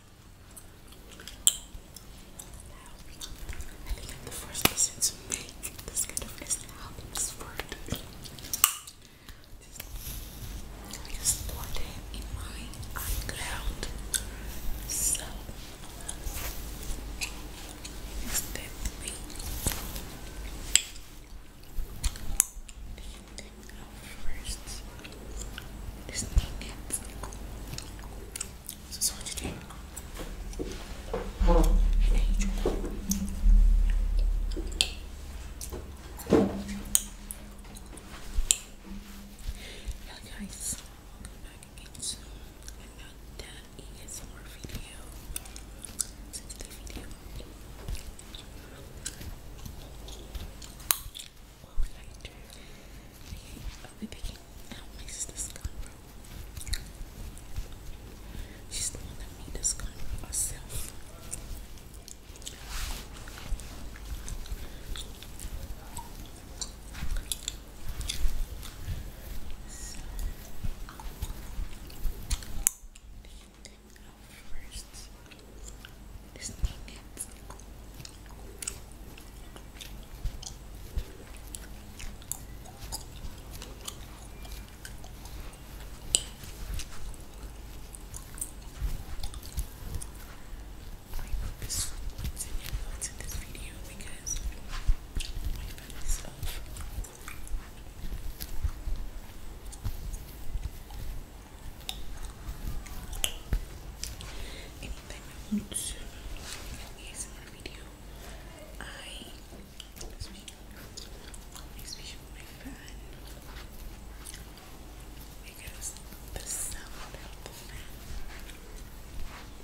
I think I'm the first person to make this kind of list how this worked. I just store them in my iCloud. So next step we first this nuggets. guys, welcome back again to another ASMR video. So today's video, I will be picking out my sister's scoundrel. She's the one that made the scoundrel herself. Now first, sneak it. I hope this was in your thoughts this video because I found myself Anytime I want to make video, I speak, I speak my fan because the sound of the fan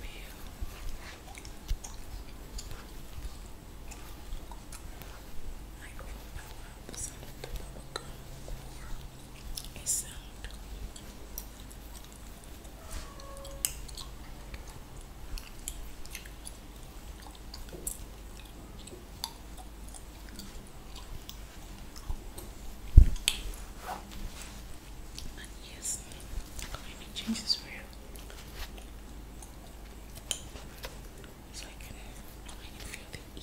will like the sound of the bubblegum a sound. yes, i change this for So I can, feel the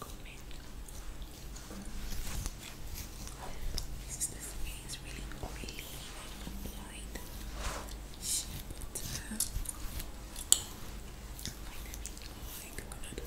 Combing. This is the really light. Butter. Vitamin oil, coconut oil.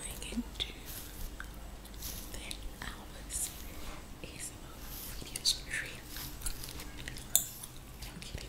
I can do the hours ASMR video stream. I don't tired.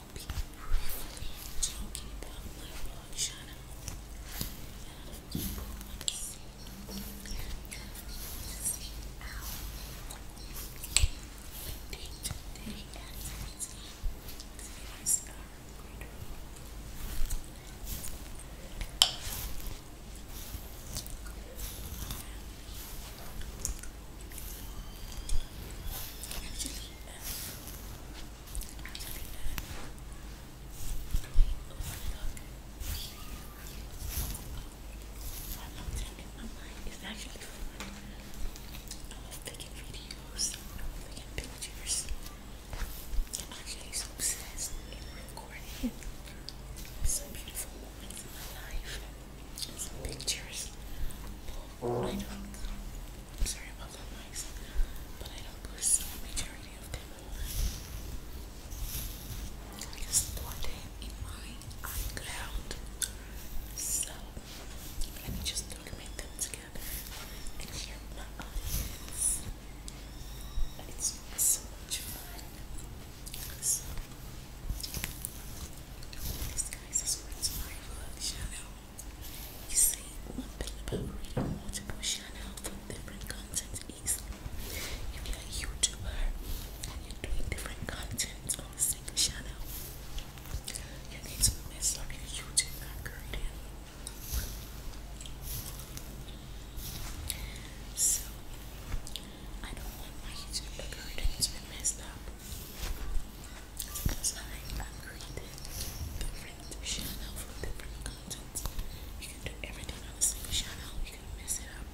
i be briefly talking about my blog channel. And you will see how day to day activities these are greater my mind is actually fun. I love taking videos, I love taking pictures. i actually obsessed in recording some beautiful moments in my life some pictures. I don't. I'm sorry about that noise, but I don't post the majority of them. I just store them in my iCloud, so let me just document them together and share my audience. It's so much fun. this guy's subscribe to my vlog you see, one thing about reading multiple channels from different content is if you're a YouTuber and you're doing different content on a single channel, you need to mess up your YouTube algorithm. So, I don't want my YouTube algorithm to be messed up. Because I have created different channel for different content. You can do everything on the same channel. You can mess it up.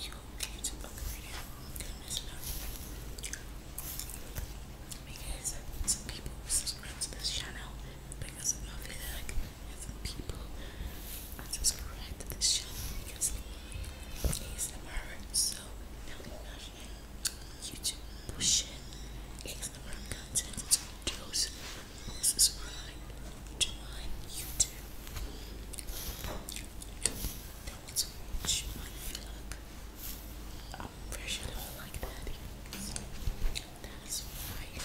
You can just upgrade it. mess it up. some people subscribe to this channel because of my video some people unsubscribe to this channel because it's ASMR. So now imagine YouTube bullshit. Instagram content, it's Subscribe to my YouTube. That I'm pretty sure like that. that is why it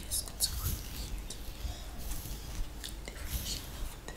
is good to create different channel for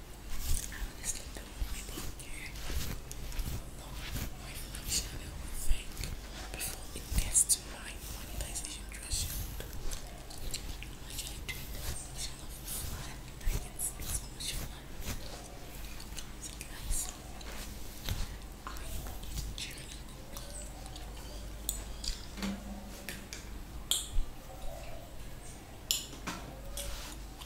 I honestly don't want to be here. No, my vlog channel will before it gets my monetization threshold. I'm actually doing the vlog channel for fun. Like, it's, it's so much I need to journal. I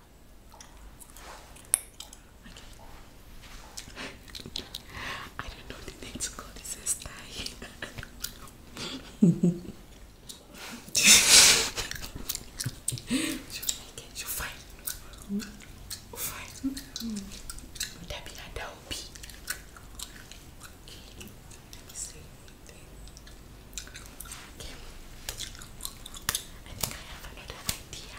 Okay. I don't know the name to call this a You'll make it, you'll find mm that be a that Let me see. Okay. I think I have another idea.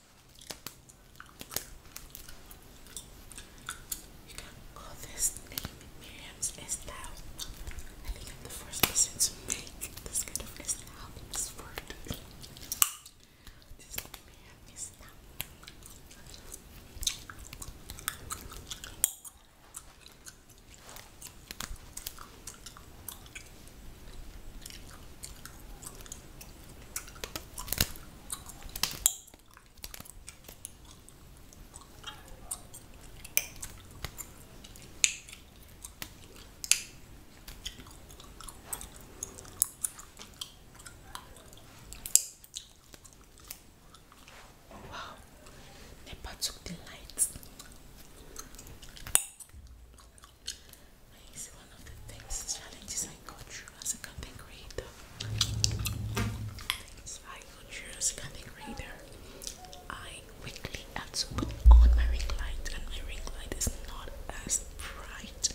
You can call this name Miriam's Estelle. I think I'm the first person to make this kind of Estelle this word. This name Miriam Wow, Nepal took the light. And it's one of the things, challenges I go through as a content creator. Things I go through as a content creator. I weekly have to put on my ring light, and my ring light is not as bright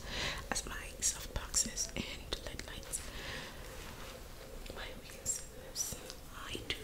as my soft boxes and LED lights. Why we can this? I do.